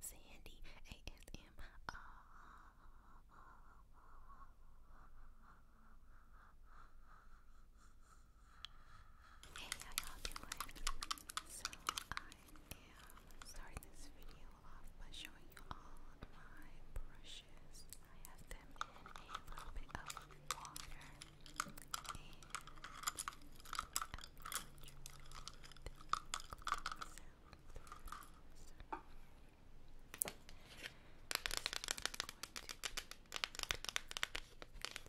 Sandy ASMR. Uh, Hey, y'all doing? So, I am starting this video off by showing you all of my brushes. I have them in a little bit of water, and those are paid scams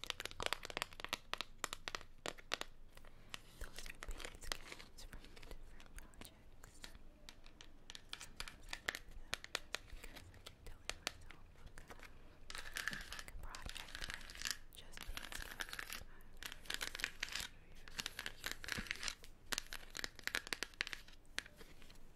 from different projects. Sometimes I look them because I've been telling myself, okay, like a project like just paid scams. I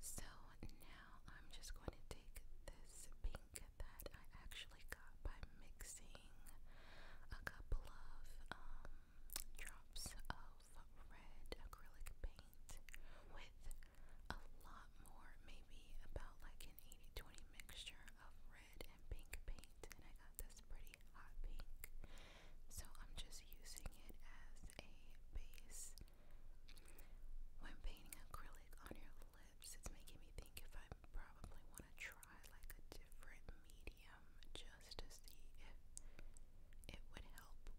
So now I'm just going to take this pink that I actually got by mixing a couple of um, drops of red acrylic paint with a lot more, maybe about like an 80 20 mixture of red red and pink paint and I got this pretty hot pink. So I'm just using it as a base. When painting acrylic on your lips, it's making me think if I probably want to try like a different medium just to see if it would help with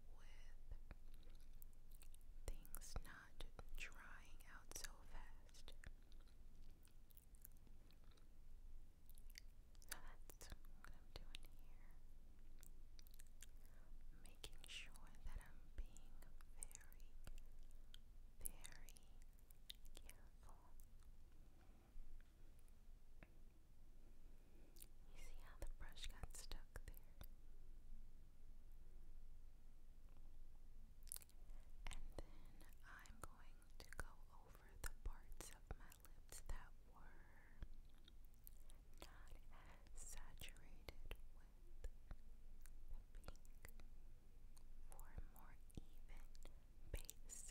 things not drying out so fast. So that's what I'm doing here. Making sure that I'm being very, very careful. You see how the brush got stuck there? And then I'm going going to go over the parts of my lips that were not saturated with pink for a more even base.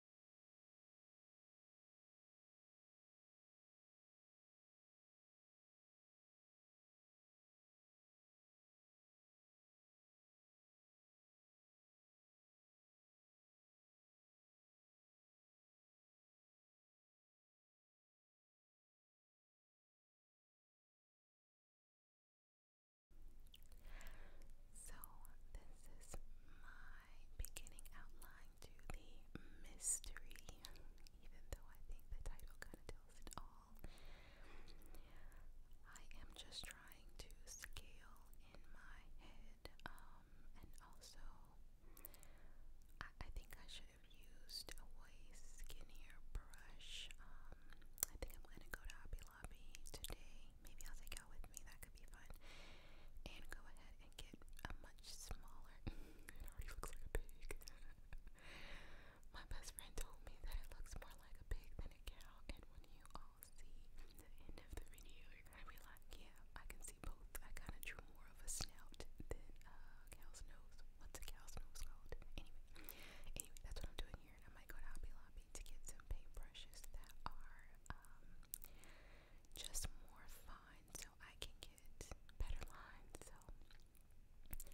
So, this is my beginning outline to the mystery, even though I think the title kind of tells it all. I am just trying to scale in my head, um, and also I think I should have used a way skinnier brush. Um, I think I'm gonna go to Hobby Lobby today. Maybe I'll take out with me that could be fun. And go ahead and get a much smaller. it already looks like a pig. My best friend told me that it looks more like a pig than a cow, and when you all see the end of the video, you're gonna be like, yeah, I can see both. I kind of drew more of a snout than a cow's nose. What's a cow's nose called? Anyway, anyway, that's what I'm doing here, and I might go to Hobby Lobby to get some paintbrushes that are um just more fine so I can get better lines. So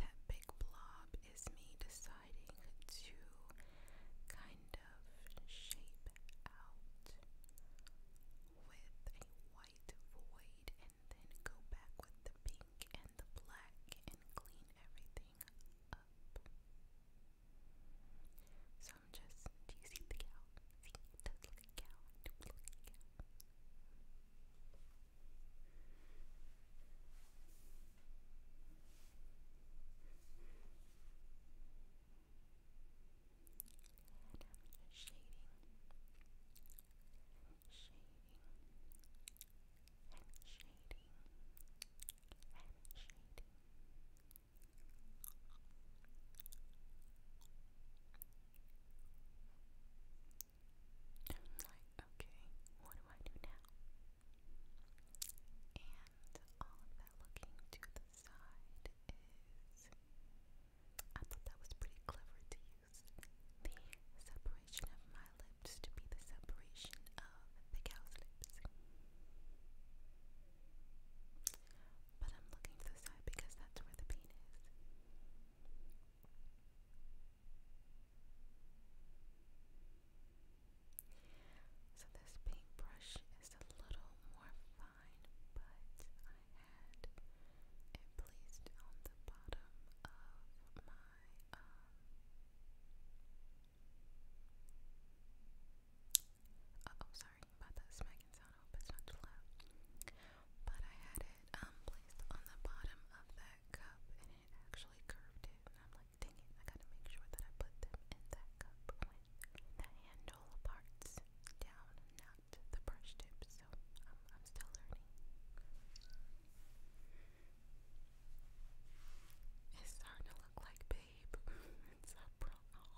that big blob is me deciding to kind of shape out with a white void and then go back with the pink and the black and clean everything up. So I'm just, do you see the cow? See, it does look a cow. does look a cow. shading, shading, and shading, and shading I'm okay, what do I do now? And all of that looking to the side is. I thought that was pretty clever to use the separation of my lips to be the separation of the cow's lips. But I'm looking to the side because that's where the pain is. So this paintbrush is a little more fine, but I had it placed on the bottom of my um, uh oh, sorry about that smacking sound. hope it's not too loud. But I had it um placed on the bottom of that cup, and it actually curved it. And I'm like, dang it! I gotta make sure that I put them in that cup with the handle parts down, not the brush tips. So um, I'm still learning. It's starting to look like babe. What's Oh, he's so happy.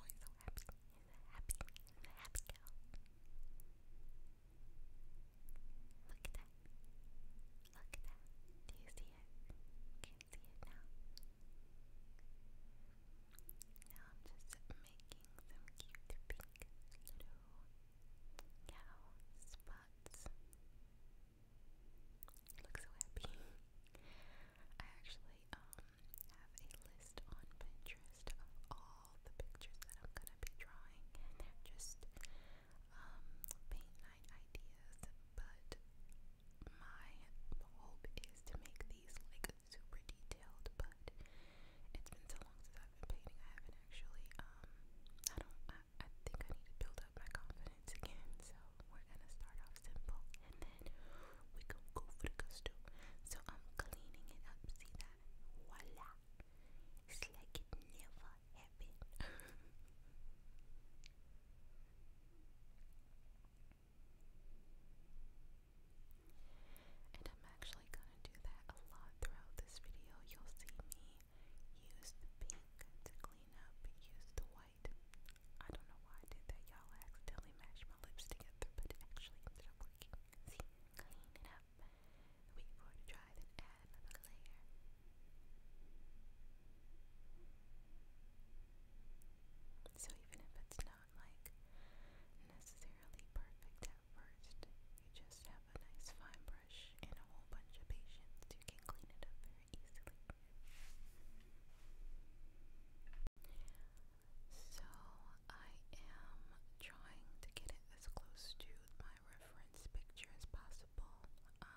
He's a happy, he's a happy girl. Look at that. Look at that. Do you see it? Can't see it now. Now I'm just making some cute pink little cow spots. Look so happy. I actually um, have a list on Pinterest of all the pictures that I'm gonna be drawing, just um, paint night ideas. But my hope is to make these like super detailed. But it's been so long since I've been painting. I haven't actually um, I don't I think I need to build up my confidence again. So we're gonna start off simple and then we can go for the gusto. So I'm cleaning it up. See that? Voila! It's like it never happened. and I'm actually gonna do that a lot throughout this video. You'll see me use the pink to clean up, use the white I don't know why I did that, y'all. accidentally mashed my lips together, but it actually ended up working. See, clean it up. Wait for it to dry, then add another layer. So even if it's not like necessarily perfect at first, you just have a nice fine brush and a whole bunch of patience. You can clean it up very easily. So I am trying to get it as close to my reference picture as possible. Um,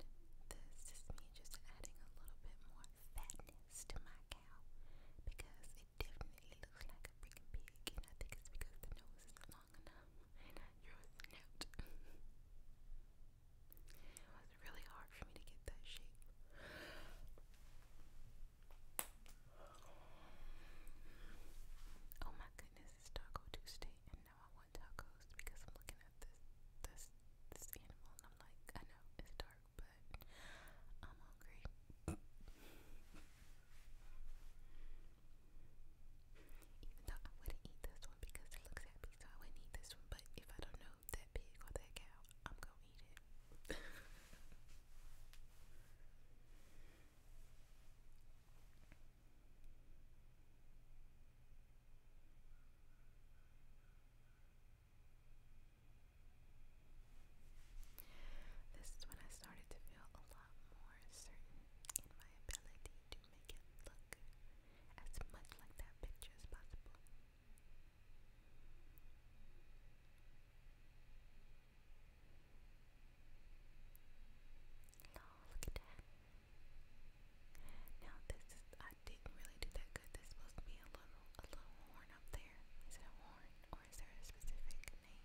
and this is me just adding a little bit more fatness to my cow because it definitely looks like a freaking pig, and I think it's because the nose is long enough it was really hard for me to get that shape. Oh my goodness, it's Taco Tuesday and now I want tacos because I'm looking at this this this animal and I'm like, I know it's dark but I'm hungry. Even though I wouldn't eat this one because it looks happy, so I wouldn't eat this one. But if I don't know that pig or that cow, I'm gonna eat it. This is when I started to feel a lot more certain in my ability to can make it look as much like that picture as possible. look at that. Now this is, I didn't really do that good. There's supposed to be a little, a little horn up there. Is it a horn or is there a specific name?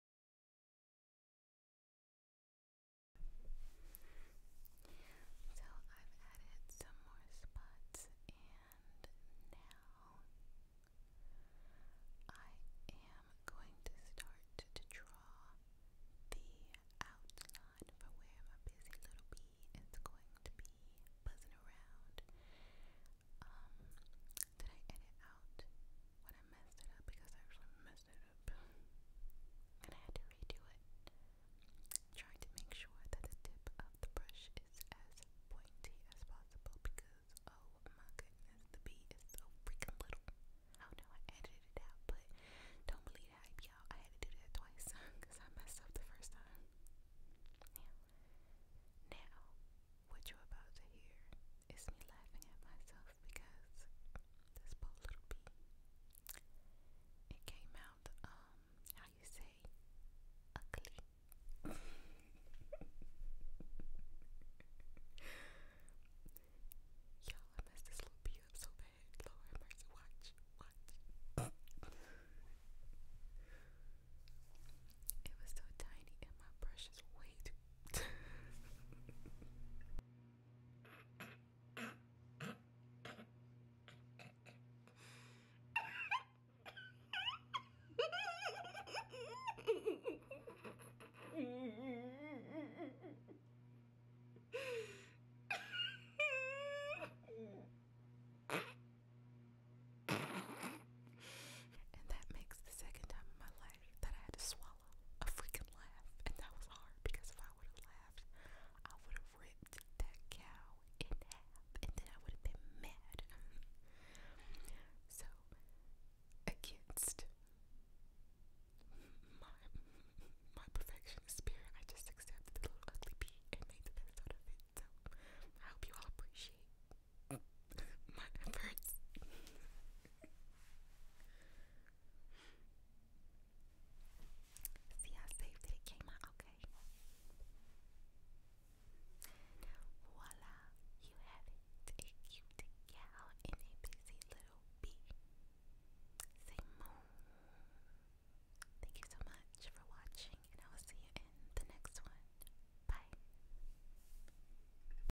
So I've added some more spots and now I am going to start to draw the outline for where my busy little bee is going to be buzzing around. Um, did I edit out when I messed it up? Because I actually messed and I had to redo it. Trying to make sure that the tip of the brush is as pointy as possible because oh my goodness, the bee is so freaking little. Oh no, I edited it out, but don't believe hype, y'all. I had to do that twice because I messed up the first time. Yeah. Now, what you're about to hear is me laughing at myself myself because this poor little bee, it came out, um, how you say, ugly. Y'all, I messed this little bee up so bad. Lord mercy, watch, watch. it was so tiny and my brush is way too And that makes the second time in my life that I had to swallow a freaking laugh, and that was hard because if I would have laughed, I would have ripped that cow in half, and then I would have been mad. so, against my my perfectionist spirit, I just accepted the little ugly pea and made the best out of it. So, I hope you all appreciate my efforts. See, I saved it. It came out okay. Voila, you have it. A cute gal and a busy little bee. Say moon. Thank you so much for watching, and I will see you in the next one. Bye.